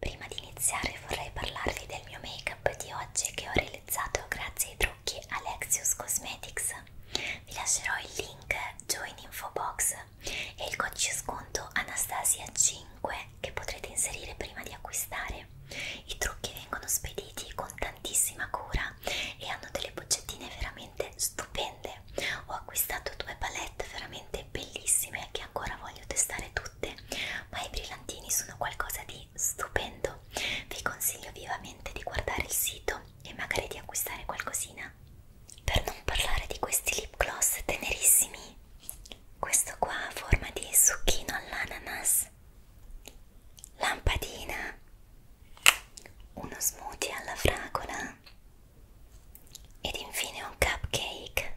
Prima di iniziare vorrei parlarvi del mio make-up di oggi che ho realizzato grazie ai trucchi Alexius Cosmetics. Vi lascerò il link giù in info box e il codice sconto Anastasia5 che potrete inserire prima di acquistare. I trucchi vengono spediti con tantissima cura e hanno delle boccettine veramente stupende. Ho acquistato due palette veramente bellissime che ancora voglio testare tutte tutte, ma i brillantini sono qualcosa di stupendo. Vi consiglio vivamente di guardare il sito e magari di acquistare qualcosina. Per non parlare di questi lip gloss tenerissimi, questo qua a forma di succhino all'ananas, lampadina, uno smoothie alla fragola ed infine un cupcake.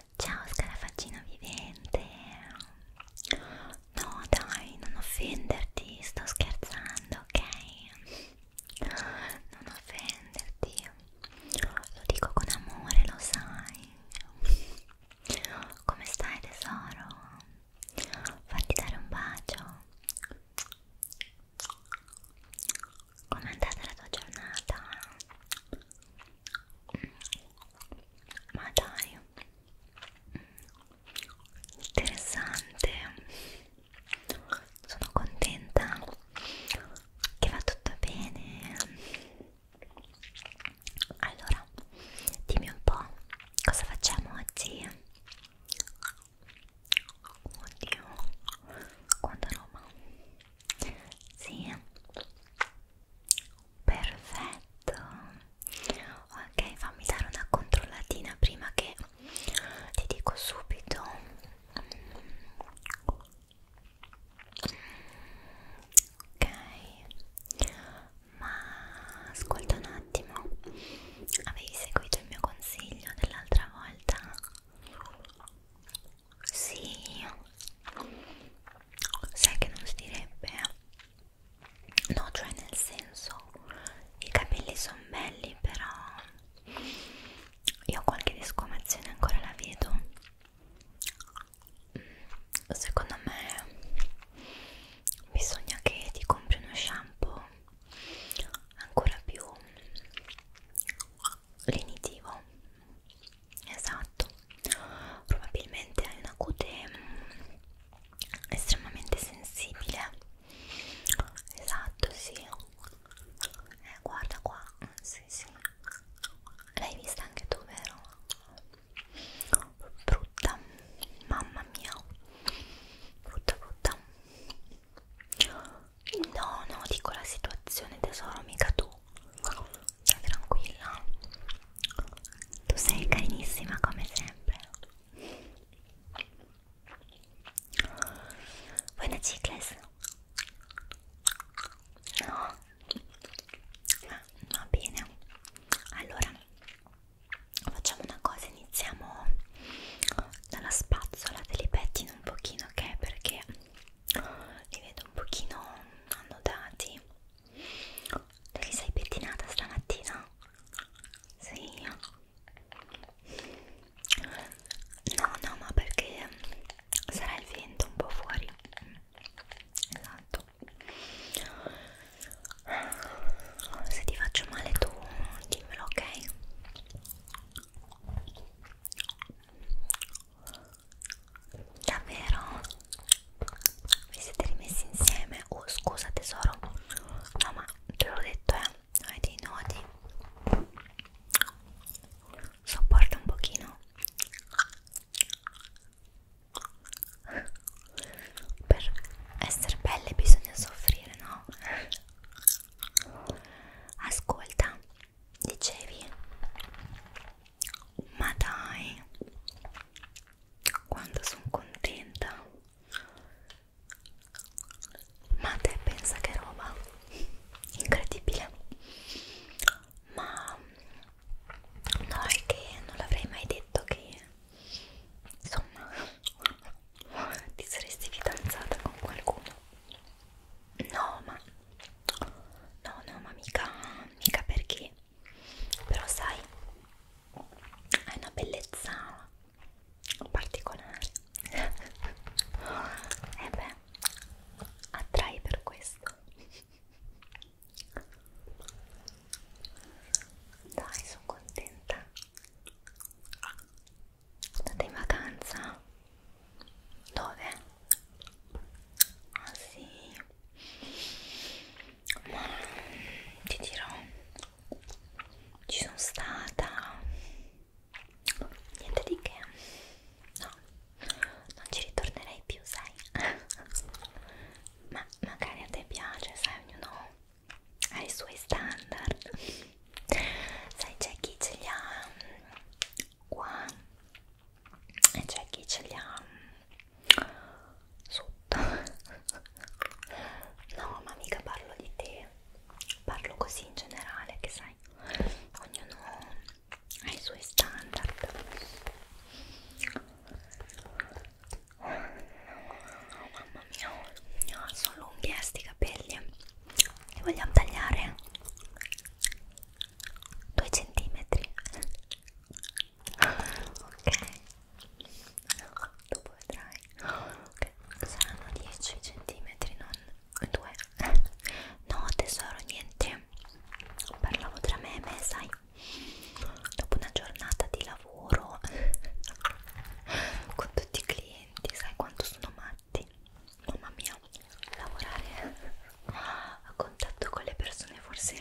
Ciao scarafaccino vivente No dai non offenderti sto scherzando ok Non offenderti Lo dico con amore lo sai Come stai tesoro? Fatti dare un bacio Com'è andata la tua giornata? ma dai interessante sono contenta che va tutto bene allora dimmi un po' cosa facciamo oggi oddio quanta roba sì perfetto ok fammi dare una controllatina prima che ti dico subito ok ma ascolta un attimo avevi seguito il mio consiglio dell'altra volta sì sai che non si direbbe eh? no cioè nel senso i capelli sono belli però io qualche discomazione ancora la vedo mm, secondo me bisogna che ti compri uno shampoo ancora più lenitivo esatto probabilmente hai una cute mm, estremamente sensibile esatto sì eh, guarda qua sì sì l'hai vista anche tu vero brutta mamma mia brutta brutta no no dico la situazione tesoro mica tu sta tranquilla tu sei carinissima come sempre vuoi una cicles? no? Ah, va bene allora facciamo una cosa iniziamo dalla spazzola te li pettino un pochino ok perché li vedo un pochino annodati tu ti sei pettinata stamattina? Sì. No, no, ma perché sarà il vento un po' fuori. Esatto. Se ti faccio male tu dimmelo, ok? Davvero? Vi siete rimessi insieme? Oh scusa tesoro No ma te l'ho detto eh Hai dei nodi Sopporta un pochino Per essere belle bisogna soffrire no? Ascolta Dicevi ma dai quando sono contenta ma te pensa che roba incredibile ma no è che non l'avrei mai detto che insomma ti saresti fidanzata con qualcuno no ma no no ma mica mica perché però sai hai una bellezza particolare e beh attrai per questo dai sono contenta andate in vacanza dove? ah sì ma ti dirò ci sono stata niente di che no non ci ritornerei più sai ma magari a te piace sai ognuno ha i suoi standard sai c'è chi ce li ha qua e c'è chi ce li ha mm, sotto no ma mica parlo di te parlo così in generale che sai ognuno ha i suoi standard oh, mamma mia oh, sono lunghi eh sti capelli li vogliamo tagliare 2 centimetri ok dopo vedrai ok saranno 10 centimetri non 2 no tesoro niente parlavo tra me e me sai dopo una giornata di lavoro con tutti i clienti sai quanto sono matti mamma mia lavorare a contatto con le persone forse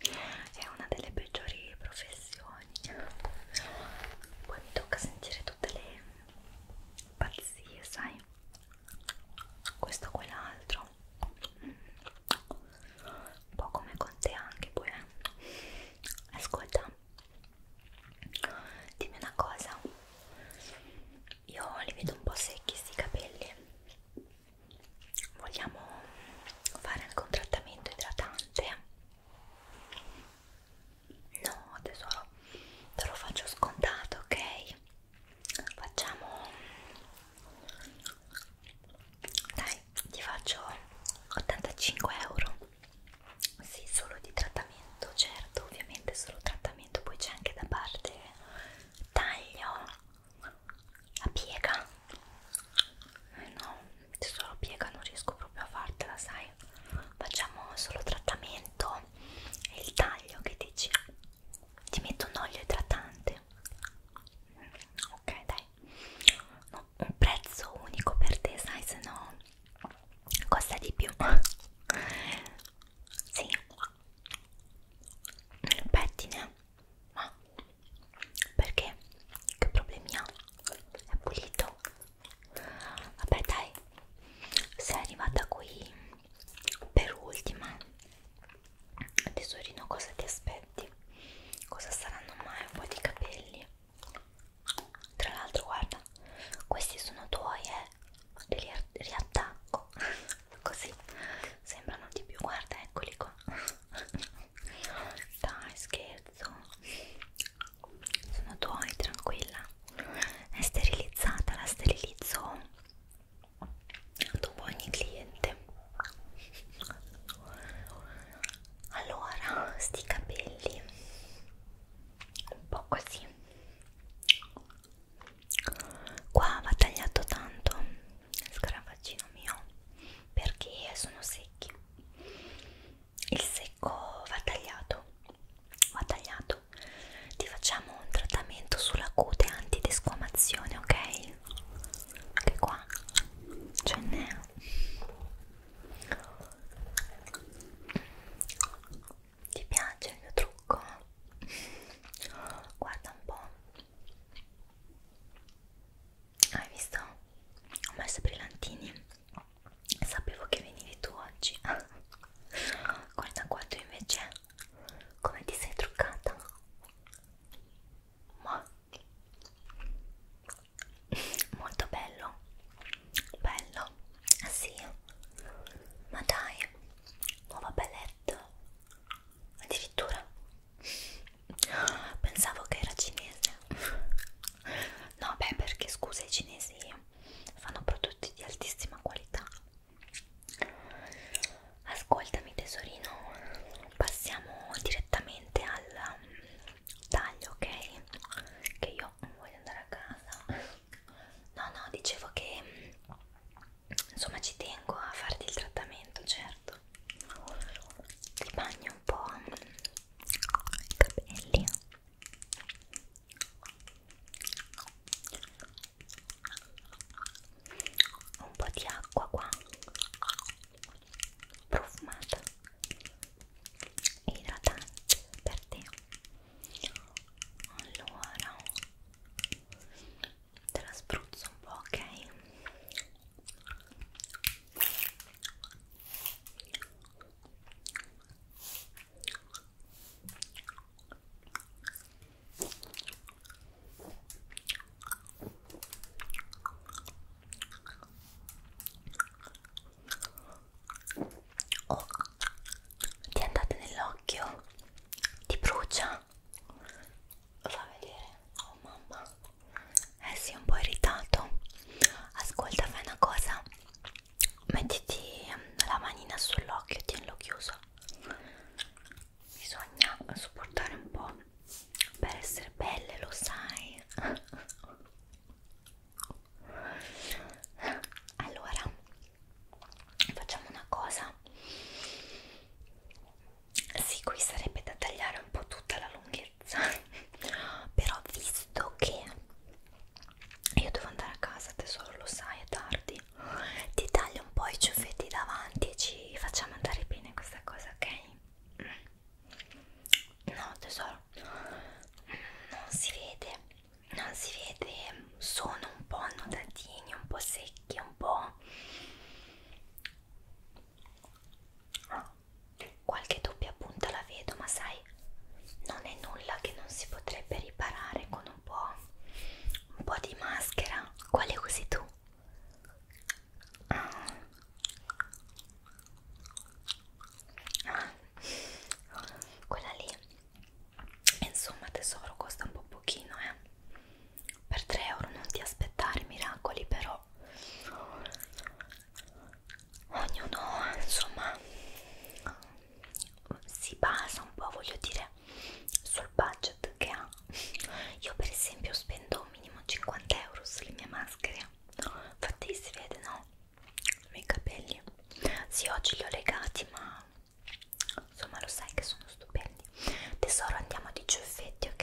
è una delle peggiori professioni poi mi tocca sentire tutte le pazzie sai questo quell'altro un po' come con te anche poi eh. ascolta dimmi una cosa io li vedo un po' secchi sti capelli vogliamo fare anche un trattamento idratante? No tesoro, te lo faccio scontato, ok? Facciamo... Dai, ti faccio 85 euro. Sì, solo di trattamento, certo, ovviamente solo trattamento, poi c'è anche da parte taglio la piega eh no solo piega non riesco proprio a fartela sai facciamo solo trattamento e il taglio che dici ti metto un olio idratante mm, ok dai no, un prezzo unico per te sai se no costa di più sì il pettine ma perché? Che problemi ha? È pulito? Vabbè dai, sei arrivata qui per ultima. Tesorino, cosa ti aspetti? Cosa saranno mai un po' di capelli? Tra l'altro, guarda, questi sono tuoi, eh? Li riattacco così sembrano di più. Guarda, eccoli qua dai scherzo sono tuoi tranquilla è sterilizzata la sterilizzo dopo ogni cliente allora sti capelli un po' così qua va tagliato tanto scarafaggino mio perché sono secchi il secco va tagliato va tagliato ti facciamo un trattamento sulla cute antidesquamazione ok anche qua ce n'è ti piace il mio trucco? guarda un po' Hai visto? Ho messo i brillantini. Sapevo che venivi tu oggi. Guarda qua tu invece come ti sei truccata. Ma molto bello. Bello. Ah sì. Ma dai, nuova belletta. Addirittura Pensavo che era cinese. No, beh, perché scusa, i cinesi fanno prodotti di altissima qualità. Ascoltami, tesorino, passiamo direttamente al mm, taglio, ok? Che io voglio andare a casa. No, no, dicevo che mm, insomma ci tengo a farti il trattamento, certo ti bagno un po' i capelli un po' di acqua qua profumata e idratante per te allora te la spruzzo un po', ok? Oh, ti andate nell'occhio? Ti brucia? lo fa vedere oh mamma eh si sì, è un po' irritato ascolta fai una cosa mettiti ehm, la manina sull'occhio tienilo chiuso bisogna sopportare un po' per essere belle lo sai allora facciamo una cosa sì qui sarebbe da tagliare un po' tutta la lunghezza però visto che io devo andare a casa tesoro lo sai è tardi ti taglio un po' i ciuffetti davanti e ci facciamo andare bene questa cosa ok? no tesoro non si vede non si vede sono un po' annodatini un po' secchi un po' Ah, qualche doppia punta la vedo, ma sai, non è nulla che non si potrebbe riparare con un po', un po di maschera. Quale usi tu? Ah. Ah. Quella lì, insomma, tesoro, costa un po' pochino, eh per 3 euro non ti aspettare miracoli però ognuno insomma si basa un po' voglio dire sul budget che ha io per esempio spendo un minimo 50 euro sulle mie maschere infatti si vede no? i miei capelli sì oggi li ho legati ma insomma lo sai che sono stupendi tesoro andiamo a 10 effetti ok?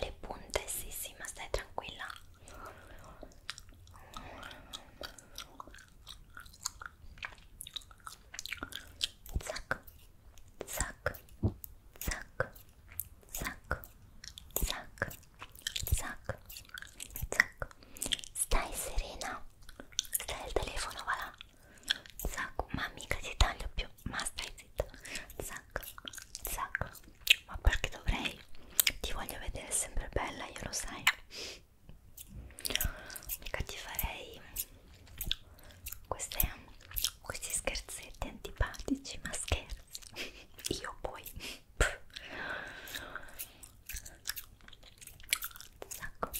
le punte sì sì ma stai tranquilla zac zac zac zac zac zac zac stai serena stai al telefono va là zac ma mica ti taglio più ma stai zitta zac sacco, sacco. Ma perché dovrei? Ti voglio vedere sempre bella, io lo sai. Mica ti farei queste, questi scherzetti antipatici, ma scherzi. Io poi. Sacco,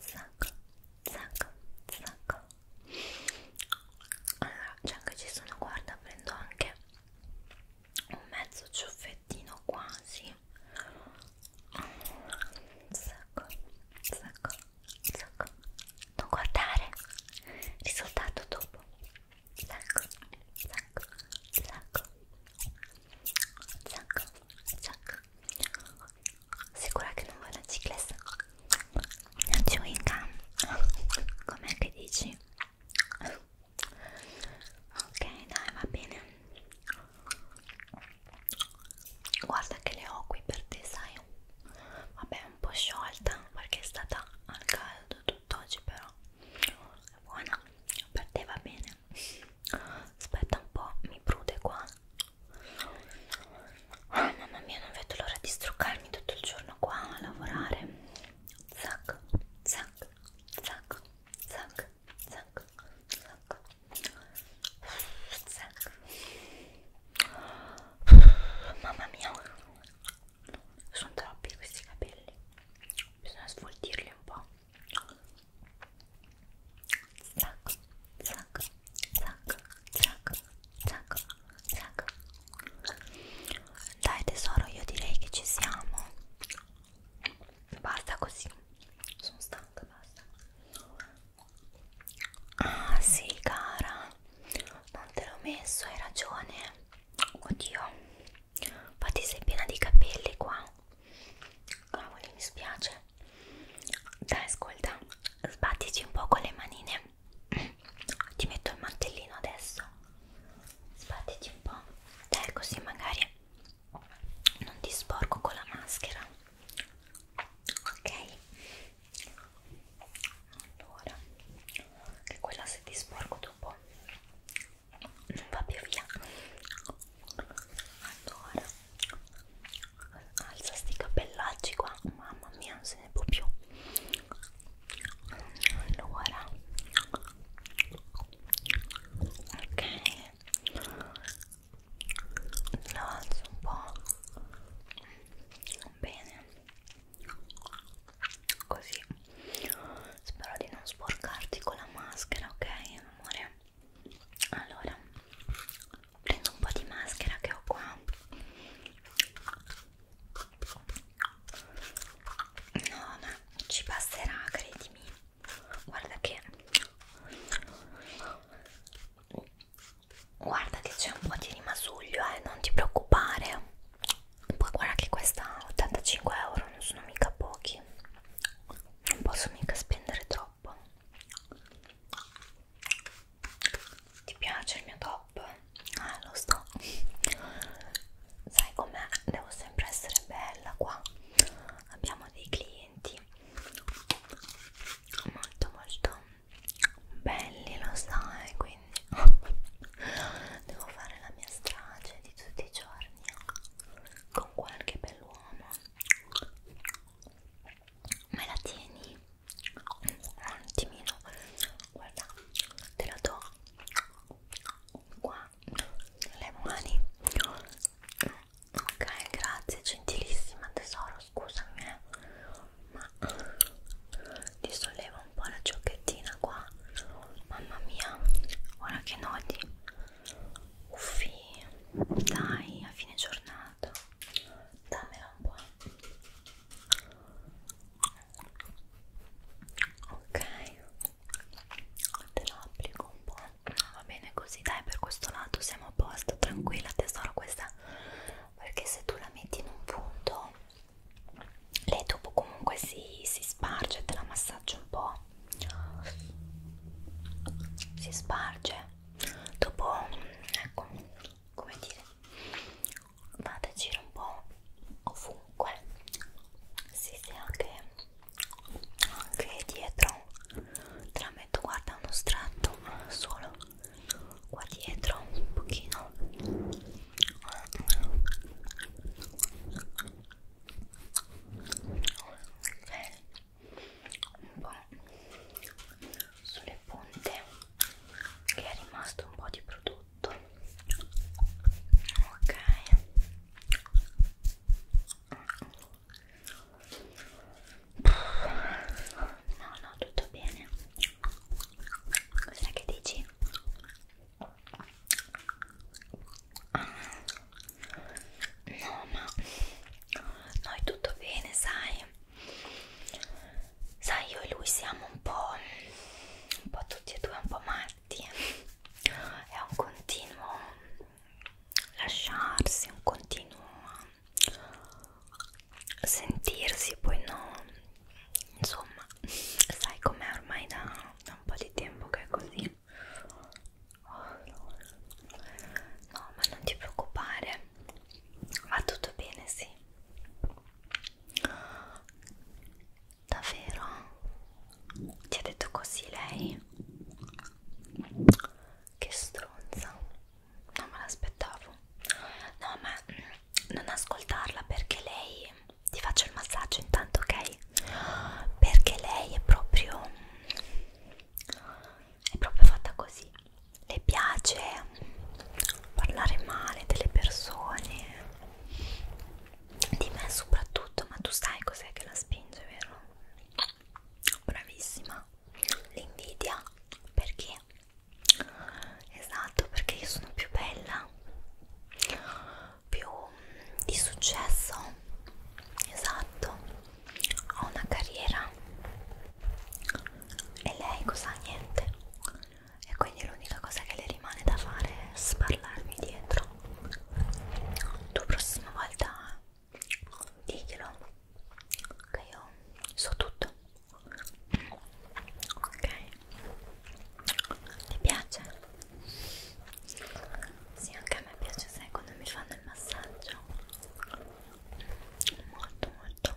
sacco, sacco, sacco allora già che ci sono guarda prendo anche un mezzo ciuffettino quasi un sacco un sacco un sacco non guardare risultato dopo sacco sacco sacco sacco sacco sicura che non vuoi la cicletta una chewing gum com'è che dici? ok dai va bene guarda che le ho qui per te sai vabbè un po' sciolta perché è stata al caldo tutt'oggi però è buona per te va bene aspetta un po' mi prude qua Oh, mamma mia, non vedo l'ora di struccarmi tutto il giorno qua a lavorare. Zac, zac, zac, zac, zac, zac, zac. Mamma mia, sono troppi questi capelli. Bisogna sfoltirli un po'. Zac, zac, zac, zac, zac, zac. Dai tesoro, io direi che ci siamo. Basta così. Sono stanca, basta. Ah sì, cara. Non te l'ho messo, hai ragione. Oddio. Infatti sei piena di capelli qua. Cavoli, mi spiace. Dai, ascolta. Sbattiti un po' con le manine ti metto il mantellino adesso sbattiti un po' dai così magari non ti sporco con la maschera ok allora che quella se ti sporco dopo non va più via allora alza sti cappellacci qua mamma mia si se ne può più allora ok lo alzo un po' bene così spero di non sporcarti con la maschera ok amore allora prendo un po' di maschera che ho qua No, ma ci passerà, credimi. Guarda che... Guarda che c'è un po' di rimasuglio, eh, non ti preoccupare. Poi guarda che questa 85 euro non sono mica pochi. Non posso mica spendere troppo. Ti piace il mio top? Ah, lo so. Sai com'è? Devo sempre essere bella qua. Abbiamo dei clienti molto molto belli, lo sai, quindi devo fare la mia strage di tutti i giorni con qualche bell'uomo. Ma la tieni? un attimino guarda te la do qua le mani ok grazie gentilissima tesoro scusami eh, ma ti sollevo un po' la giochettina qua mamma mia ora che nodi uffi dai a fine giornata dammela un po' ok te lo applico un po' va bene così dai per questo lato siamo a posto tranquilla tesoro questa perché se tu la metti in un punto lei dopo comunque si, si sparge te la massaggio un po' si sparge dopo ecco come dire vado a giro un po' ovunque si sì, sì, anche, anche dietro trametto guarda uno strato solo qua dietro un pochino ok un po' sulle del ponte che è rimasto un po' di prodotto ok no no tutto bene cos'è che dici? No, ma no, è tutto bene, sai? sai io e lui siamo un po', un po' tutti e due un po' matti è un continuo lasciarsi un continuo sentirsi poi no insomma sai com'è ormai da, da un po' di tempo che è così oh, no. no ma non ti preoccupare va tutto bene sì Davvero? Ti ha detto così lei? Che stronza. Non me l'aspettavo. No, ma non ascoltarla perché lei... Ti faccio il massaggio intanto, ok? Perché lei è proprio... È proprio fatta così le piace parlare male delle persone di me soprattutto ma tu sai cos'è che la spinge vero? bravissima l'invidia perché? esatto perché io sono più bella più di successo esatto ho una carriera e lei cosa niente e quindi l'unica cosa che le rimane da fare è sparlarmi dietro tu prossima volta diglielo che io so tutto ok ti piace? sì anche a me piace sai quando mi fanno il massaggio molto molto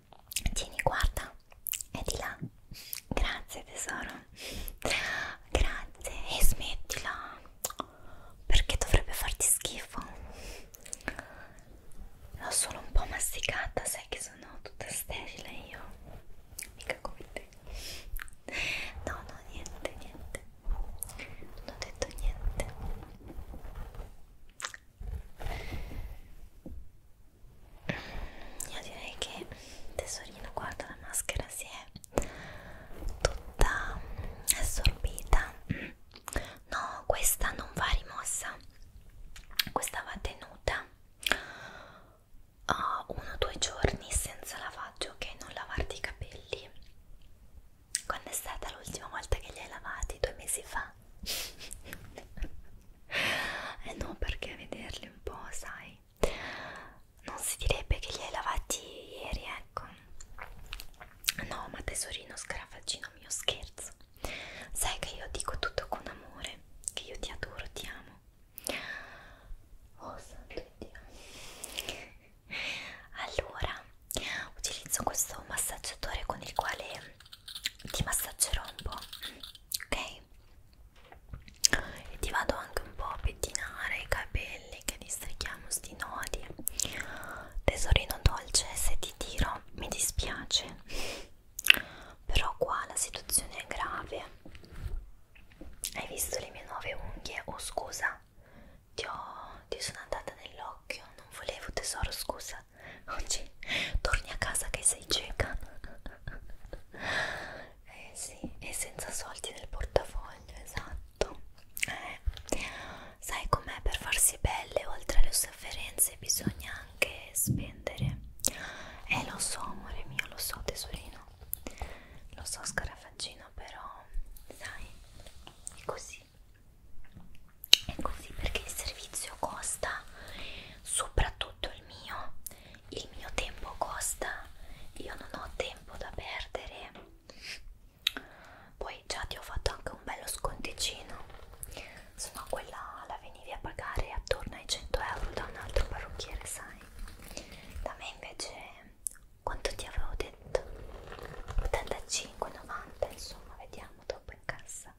Tieni, guarda, è di là. Grazie tesoro. Grazie. E smettila. Perché dovrebbe farti schifo? L'ho solo un po' masticata, sai che sono tutta sterile io. Mica come te. No, no, niente, niente. Non ho detto niente io direi che tesorino guarda la maschera si è tutta assorbita no questa non va rimossa questa va tenuta a oh, uno o due giorni senza lavaggio che okay? non lavarti i capelli quando è stata l'ultima volta che li hai lavati due mesi fa eh no perché a vederli un po' sai non si direbbe che li hai lavati ieri ecco no ma tesorino scarafaggino mio scherzo sai che io dico tutto con amore che io ti adoro ti amo oh santo dio allora utilizzo questo massaggiatore con il quale ti massaggerò un po', ok? E ti vado anche un po' a pettinare i capelli che li strichiamo sti nodi. Tesorino dolce, se ti tiro mi dispiace, però qua la situazione è grave. Hai visto le mie nuove unghie? Oh scusa, ti, ho, ti sono andata nel occhio, non volevo tesoro, scusa. Oggi torni a casa che sei cieca. Eh sì, e senza soldi nel portafoglio, esatto. Eh, sai com'è per farsi belle, oltre alle sofferenze bisogna anche spendere. Eh lo so, amore mio, lo so tesorino. Lo so scarafaggino, però sai, è così e così perché il servizio costa soprattutto il mio il mio tempo costa io non ho tempo da perdere poi già ti ho fatto anche un bello sconticino se no quella la venivi a pagare attorno ai 100 euro da un altro parrucchiere sai da me invece quanto ti avevo detto 85,90 insomma vediamo dopo in cassa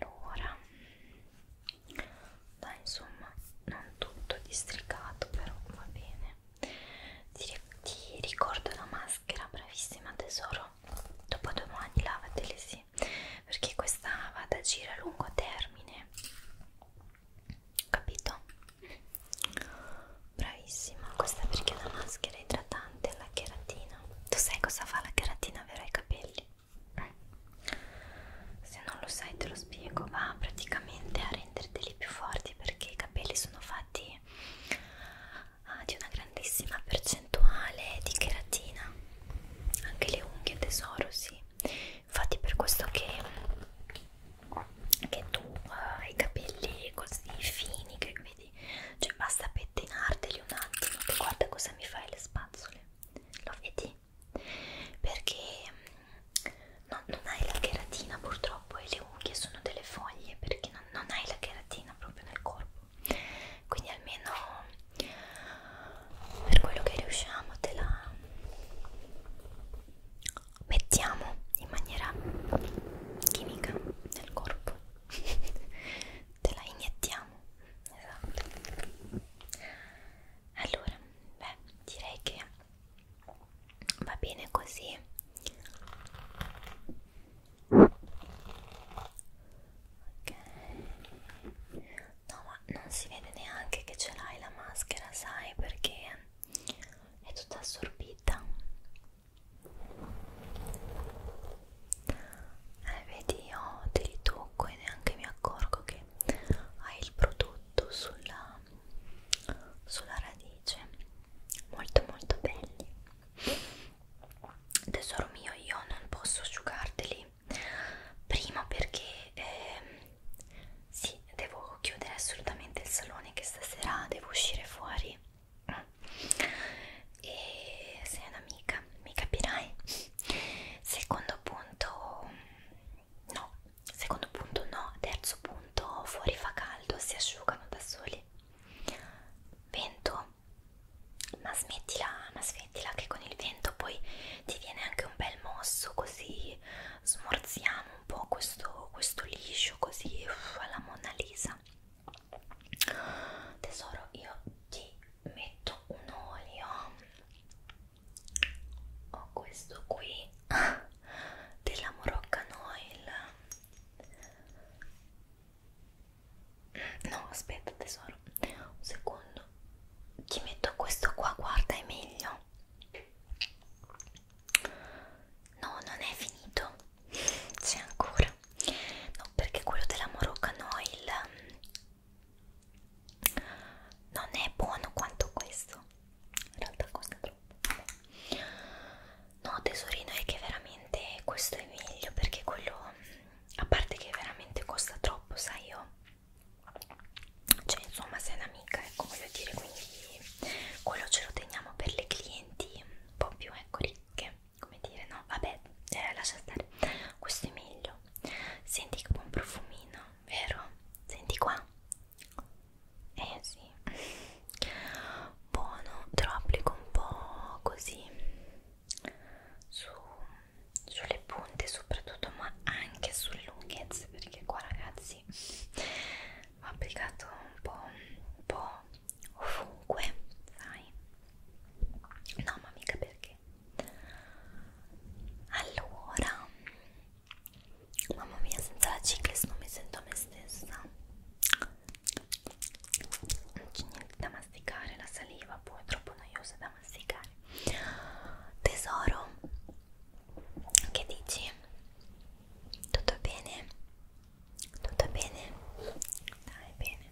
allora dai insomma non tutto districato però va bene ti, ti ricordo la maschera bravissima tesoro dopodomani lavatele sì perché questa va ad agire a lungo termine capito? bravissima questa perché è una maschera idratante importante è la cheratina. Tu sai cosa fa la cheratina vero ai capelli? Eh. Se non lo sai te lo spiego, va praticamente a renderteli più forti perché i capelli sono fatti ah, di una grandissima percentuale di cheratina. Anche le unghie tesoro, sì. Infatti per questo che che tu eh, hai i capelli così fini che vedi? Cioè basta pettinarteli un attimo che guarda cosa mi fai le spazzole, lo vedi? Perché mm, no, non hai la cheratina purtroppo e le unghie sono delle foglie perché non, non hai la cheratina proprio nel corpo. Quindi almeno per quello che riusciamo te la mettiamo in maniera chimica nel corpo te la iniettiamo esatto allora beh direi che va bene così ok no ma non si vede neanche che ce l'hai la maschera sai perché è tutta assorbita eh, vedi io ti ritocco e neanche mi accorgo che hai il prodotto sulla, sulla radice molto molto belli tesoro mio io non posso asciugarteli prima perché eh, sì devo chiudere assolutamente il salone che stasera devo uscire fuori e sei un'amica, mi capirai? Secondo punto no, secondo punto no, terzo punto fuori fa caldo, si asciugano da soli. Vento, ma smettila, ma smettila che con il vento poi ti viene anche un bel mosso così smorziamo un po' questo, questo liscio così uff, alla Mona Lisa tesoro io ti metto un olio ho questo qui della Moroccan Oil no aspetta tesoro un secondo ti metto questo qua guarda è meglio no non è finito c'è ancora no perché quello della Morocca no il non è buono quanto questo in realtà costa troppo no tesorino è che veramente questo è meglio perché quello a parte che veramente costa troppo sai io cioè insomma sei un'amica ecco voglio dire quindi quello ce lo teniamo per le clienti un po' più ecco ricche come dire no vabbè eh, lascia stare questo è meglio senti che buon profumino vero senti qua eh sì buono te lo applico un po così su, sulle punte soprattutto ma anche sulle lunghezze perché qua ragazzi ho applicato un po', un po ovunque, sai? No, ma mica perché. Allora, mamma mia, senza la ciclis non mi sento me stessa. Non c'è niente da masticare, la saliva poi è troppo noiosa da masticare. Tesoro, che dici? Tutto bene? Tutto bene? Dai, bene.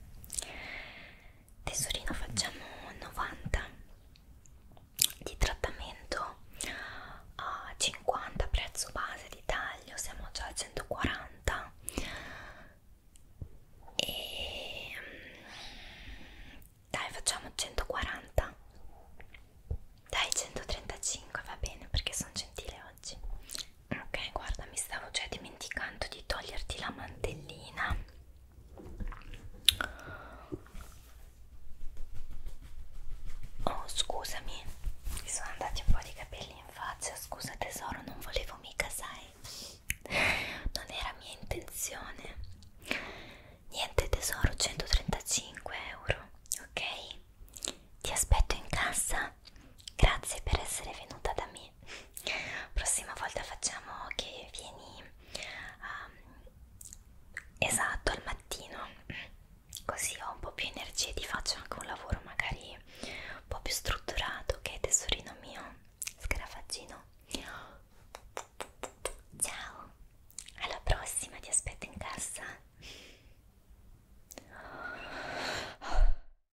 Tesorino, facciamo 90 di trattamento a 50 prezzo base di taglio, siamo già a 140 e mm, dai facciamo 140 dai 135 va bene perché sono gentile oggi ok guarda mi stavo già dimenticando di toglierti la mantellina oh scusami mi sono andati un po' di capelli in faccia scusa tesoro non volevo mica sai non era mia intenzione niente tesoro 135 euro ok ti aspetto in cassa grazie per essere venuta da me quindi prossima volta facciamo che vieni um, esatto al mattino così ho un po' più energie e ti faccio anche un lavoro magari un po' più strutturato che okay, tesorino mio scarafaggino ciao alla prossima ti aspetto in casa